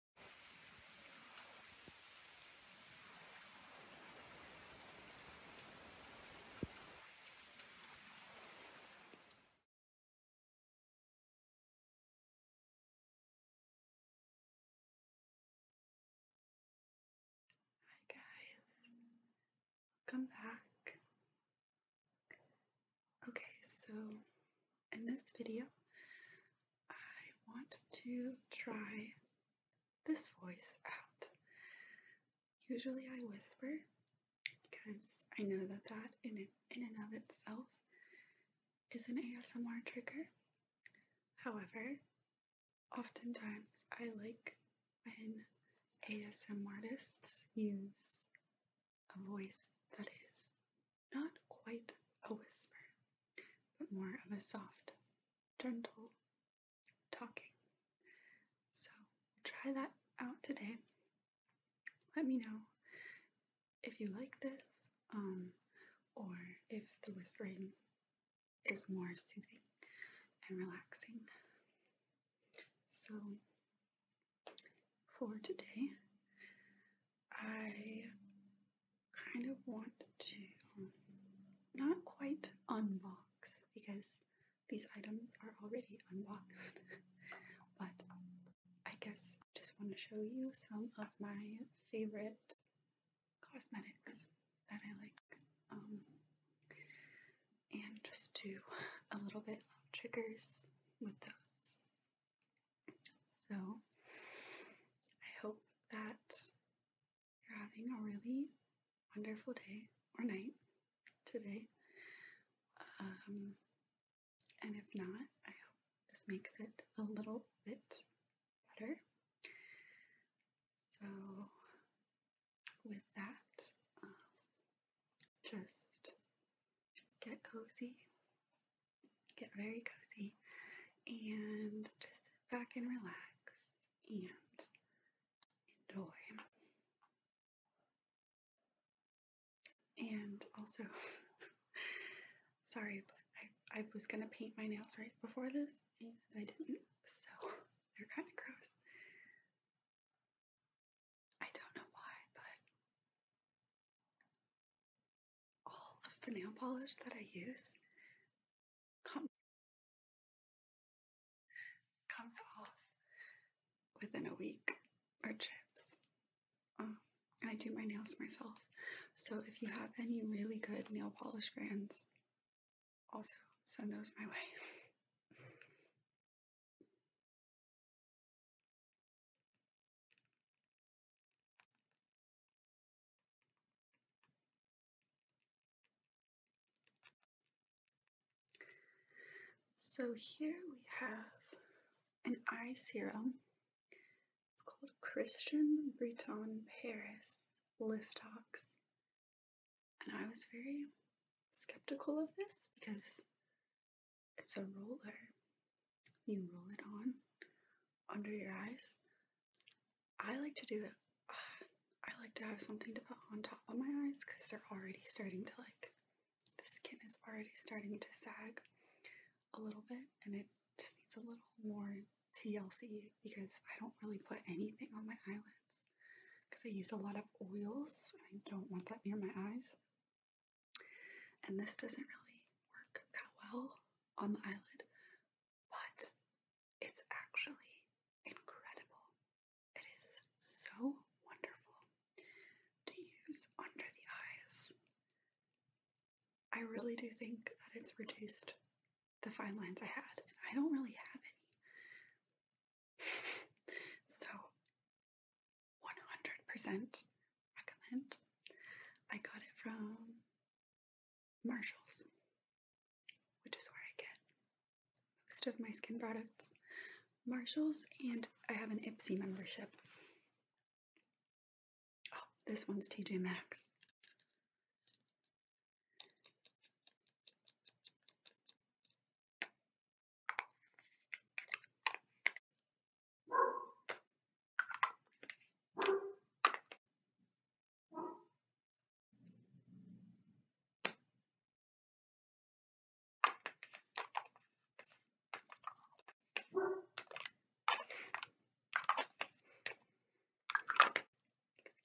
Hi guys, welcome back. Okay, so in this video, I want to try this voice out. Usually I whisper because I know that that in, in and of itself is an ASMR trigger. However, oftentimes I like when ASMR artists use a voice that is not quite a whisper, but more of a soft, gentle talking. So try that out today. Let me know if you like this, um, or if the whispering is more soothing and relaxing. So for today, I kind of want to not quite unbox because these items are already unboxed, but I guess just want to show you some of my favorite cosmetics that I like. Um, and just do a little bit of triggers with those. So I hope that you're having a really wonderful day or night today. Um, and if not, I hope this makes it a little bit better. So, with that, um, just get cozy, get very cozy, and just sit back and relax and enjoy. And also, sorry, but I, I was gonna paint my nails right before this and I didn't, so they're kind of gross. I don't know why, but all of the nail polish that I use comes, comes off within a week or chips. Um, and I do my nails myself. So if you have any really good nail polish brands, also send those my way. So here we have an eye serum. It's called Christian Breton Paris Liftox. And I was very skeptical of this because it's a roller. You roll it on under your eyes. I like to do it. I like to have something to put on top of my eyes because they're already starting to like, the skin is already starting to sag a little bit and it just needs a little more TLC because I don't really put anything on my eyelids because I use a lot of oils. I don't want that near my eyes. And this doesn't really work that well on the eyelid, but it's actually incredible. It is so wonderful to use under the eyes. I really do think that it's reduced the fine lines I had, and I don't really have any. so 100% recommend. I got it from Marshalls, which is where I get most of my skin products. Marshalls, and I have an Ipsy membership. Oh, this one's TJ Maxx.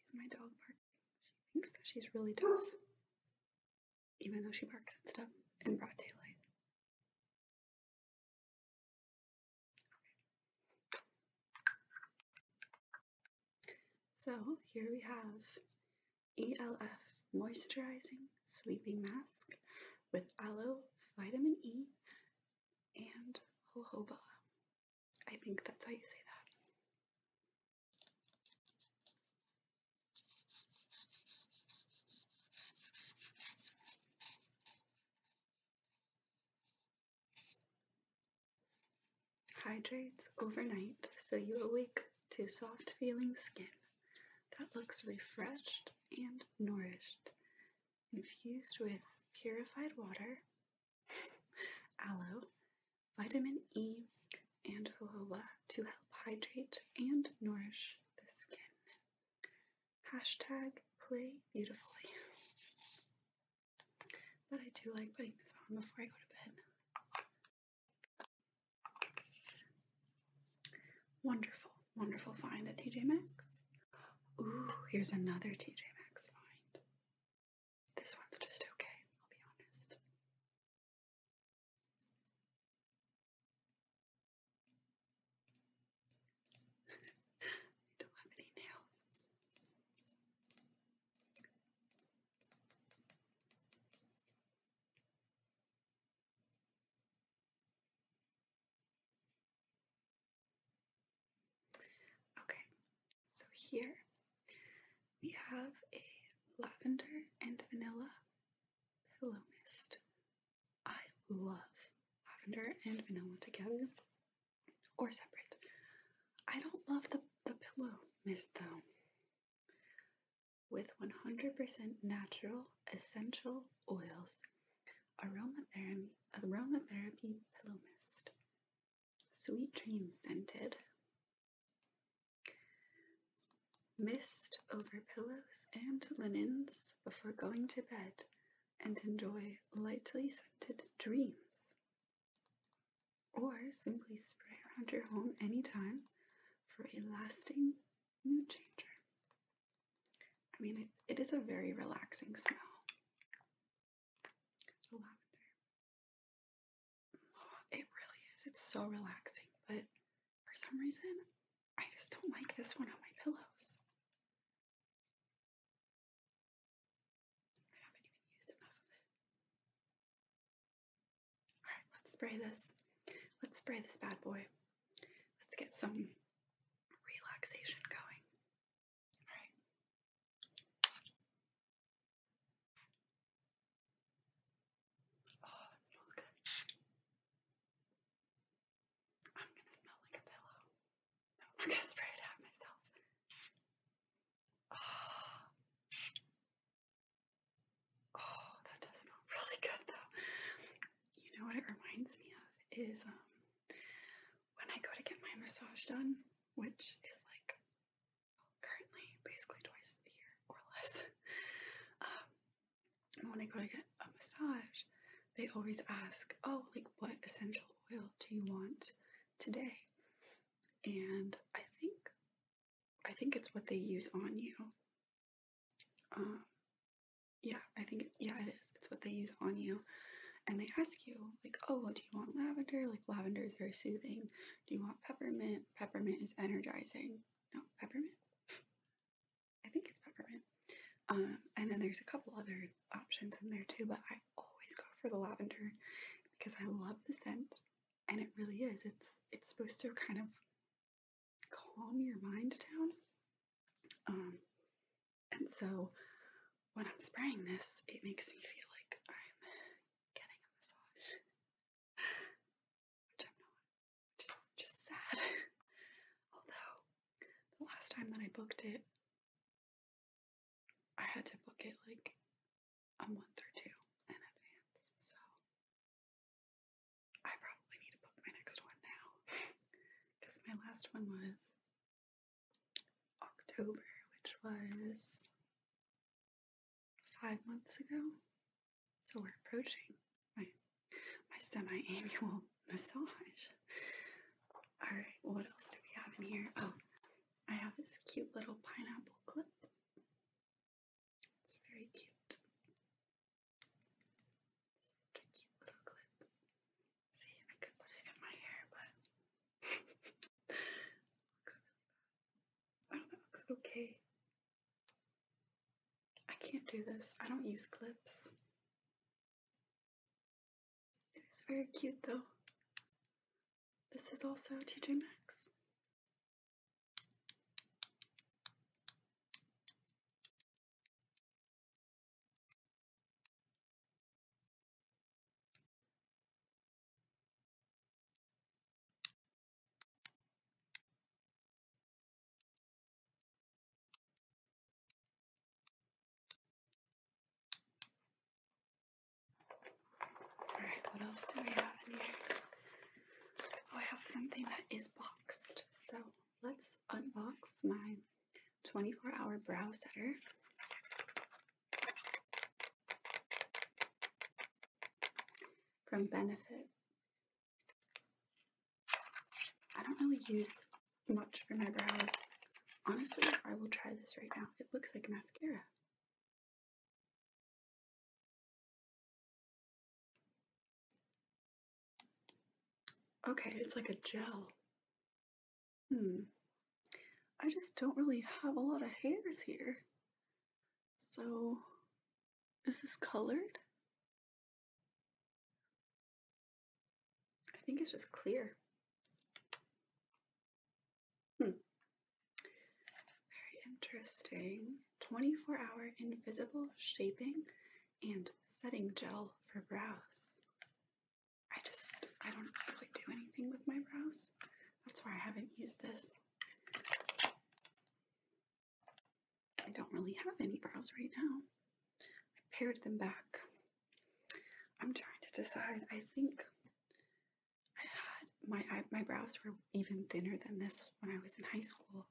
Excuse my dog barking. She thinks that she's really tough, even though she barks at stuff in broad daylight. So here we have ELF Moisturizing Sleeping Mask with Aloe, Vitamin E, and Jojoba. I think that's how you say that. Hydrates overnight so you awake to soft feeling skin that looks refreshed and nourished, infused with purified water, aloe, vitamin E, and jojoba to help hydrate and nourish the skin. Hashtag play beautifully. But I do like putting this on before I go to bed. Wonderful, wonderful find at TJ Maxx. Ooh, here's another TJ Maxx find. This one's just okay, I'll be honest. I don't have any nails. Okay, so here we have a lavender and vanilla pillow mist. I love lavender and vanilla together or separate. I don't love the, the pillow mist though. With 100% natural essential oils, aromatherapy pillow mist, sweet dream scented mist over pillows and linens before going to bed and enjoy lightly scented dreams. Or simply spray around your home anytime for a lasting mood changer. I mean, it is a very relaxing smell. The lavender. Oh, it really is. It's so relaxing, but for some reason, I just don't like this one on my pillows. I haven't even used enough of it. All right, let's spray this. Let's spray this bad boy. Let's get some relaxation going. All right. Oh, it smells good. I'm gonna smell like a pillow. I'm gonna spray it out myself. Oh. oh, that does smell really good though. You know what it reminds me of is um when I go to get my massage done, which is like currently basically twice a year or less. Um, when I go to get a massage, they always ask, Oh, like what essential oil do you want today? And I think I think it's what they use on you. Um, yeah, I think yeah, it is. It's what they use on you, and they ask you like, oh, well, do you want lavender? Like lavender is very soothing. Do you want peppermint? Peppermint is energizing. No, peppermint. I think it's peppermint. Um, and then there's a couple other options in there too, but I always go for the lavender because I love the scent and it really is. It's it's supposed to kind of calm your mind down. Um, and so when I'm spraying this, it makes me feel like I'm getting a massage. which I'm not, which is just sad. Although, the last time that I booked it, I had to book it like a month or two in advance, so I probably need to book my next one now because my last one was October, which was five months ago. So we're approaching my, my semi-annual massage. All right, what else do we have in here? Oh, I have this cute little pineapple clip. It's very cute. Such a cute little clip. See, I could put it in my hair, but looks really bad. I don't know, looks okay. I can't do this. I don't use clips. It is very cute though. This is also TJ Maxx. Alright, what else do we have oh, I have something that is boxed. So let's unbox my 24 hour brow setter. From Benefit. I don't really use much for my brows. Honestly, I will try this right now. It looks like mascara. Okay, it's like a gel. Hmm. I just don't really have a lot of hairs here. So, is this colored? I think it's just clear. Hmm. Very interesting. 24 hour invisible shaping and setting gel for brows. I just, I don't really do anything with my brows. That's why I haven't used this. I don't really have any brows right now. I paired them back. I'm trying to decide. I think I had my my brows were even thinner than this when I was in high school.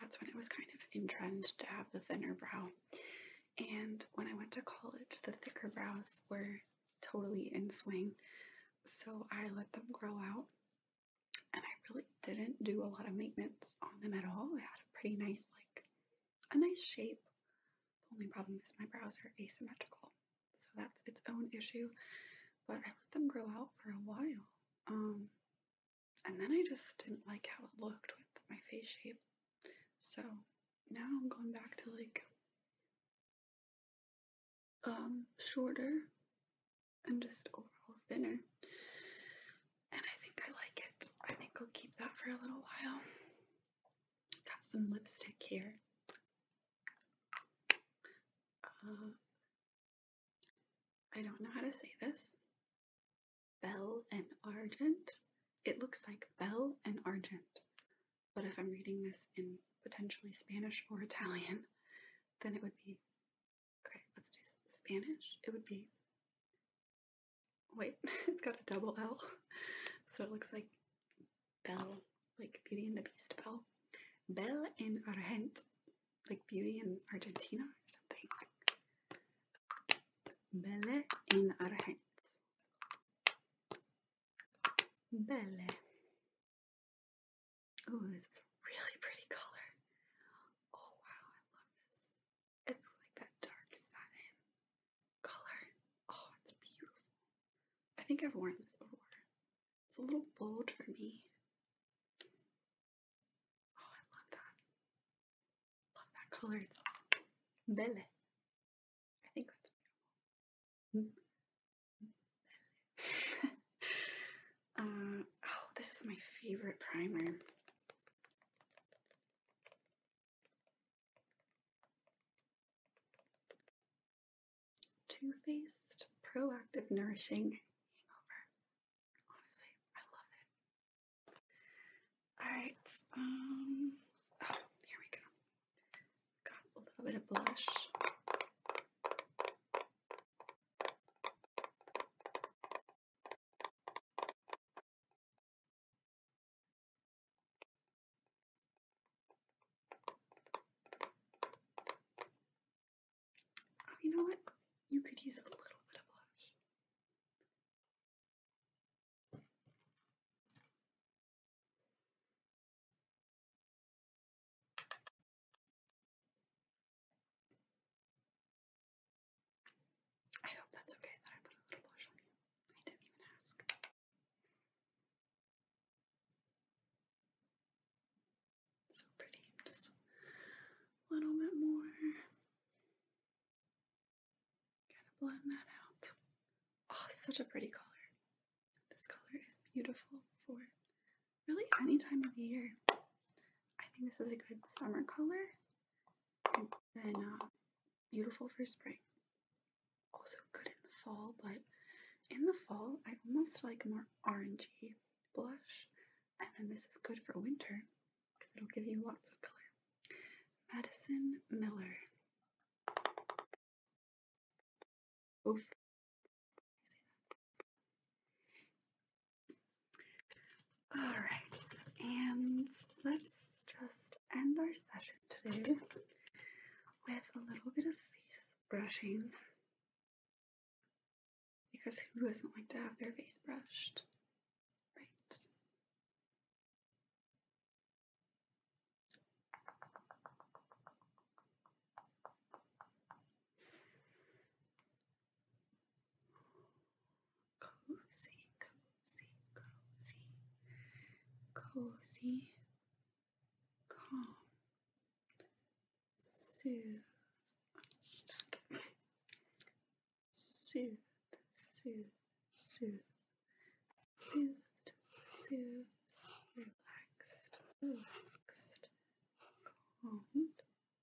That's when it was kind of in trend to have the thinner brow. And when I went to college, the thicker brows were totally in swing. So I let them grow out and I really didn't do a lot of maintenance on them at all. I had a pretty nice, like, a nice shape. The only problem is my brows are asymmetrical, so that's its own issue. But I let them grow out for a while, um, and then I just didn't like how it looked with my face shape. So now I'm going back to like um shorter and just overall thinner. And I think I like it. I think I'll keep that for a little while. Got some lipstick here. Uh, I don't know how to say this. Bell and Argent. It looks like Bell and Argent. But if I'm reading this in potentially Spanish or Italian, then it would be Okay, let's do Spanish. It would be, wait, it's got a double L. So it looks like Belle, like Beauty and the Beast Belle. Belle in Argent, like Beauty in Argentina or something. Belle in Argent. Belle. Oh, this is a really pretty color. Oh wow, I love this. It's like that dark satin color. Oh, it's beautiful. I think I've worn this before. It's a little bold for me. Oh, I love that. Love that color. It's belle. I think that's beautiful. Mm-hmm. Mm-hmm. Uh, oh, this is my favorite primer. Too Faced Proactive Nourishing Hangover. Honestly, I love it. Alright, um, oh, here we go. Got a little bit of blush. Oh, you know what? You could use a little bit of blush. I hope that's okay that I put a little blush on you. I didn't even ask. so pretty, just a little bit more. Kind of blend that out. Oh, such a pretty color. This color is beautiful for really any time of the year. I think this is a good summer color and then uh, beautiful for spring. Also good in the fall, but in the fall I almost like a more orangey blush and then this is good for winter because it'll give you lots of color. Madison Miller. Both all right, and let's just end our session today with a little bit of face brushing because who doesn't like to have their face brushed, right? Cozy, cozy, cozy, cozy, calm, soothe, soothe, soothe, soothe, soothed, soothed, relaxed, relaxed, calmed,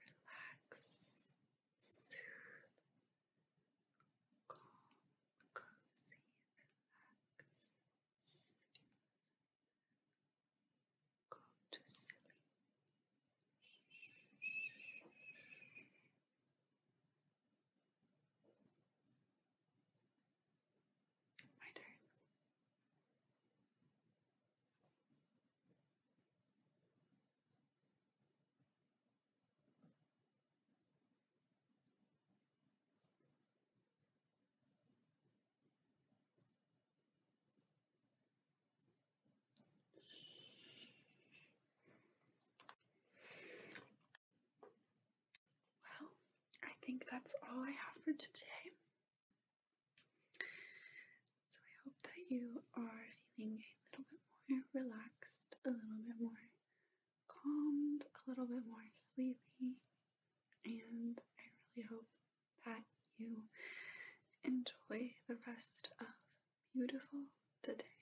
relax, soothe, calm, cozy, relax. Go to sleep. My turn. Well, I think that's all I have for today. So I hope that you are feeling a little bit more relaxed, a little bit more calmed, a little bit more sleepy, and I really hope that you enjoy the rest of beautiful today.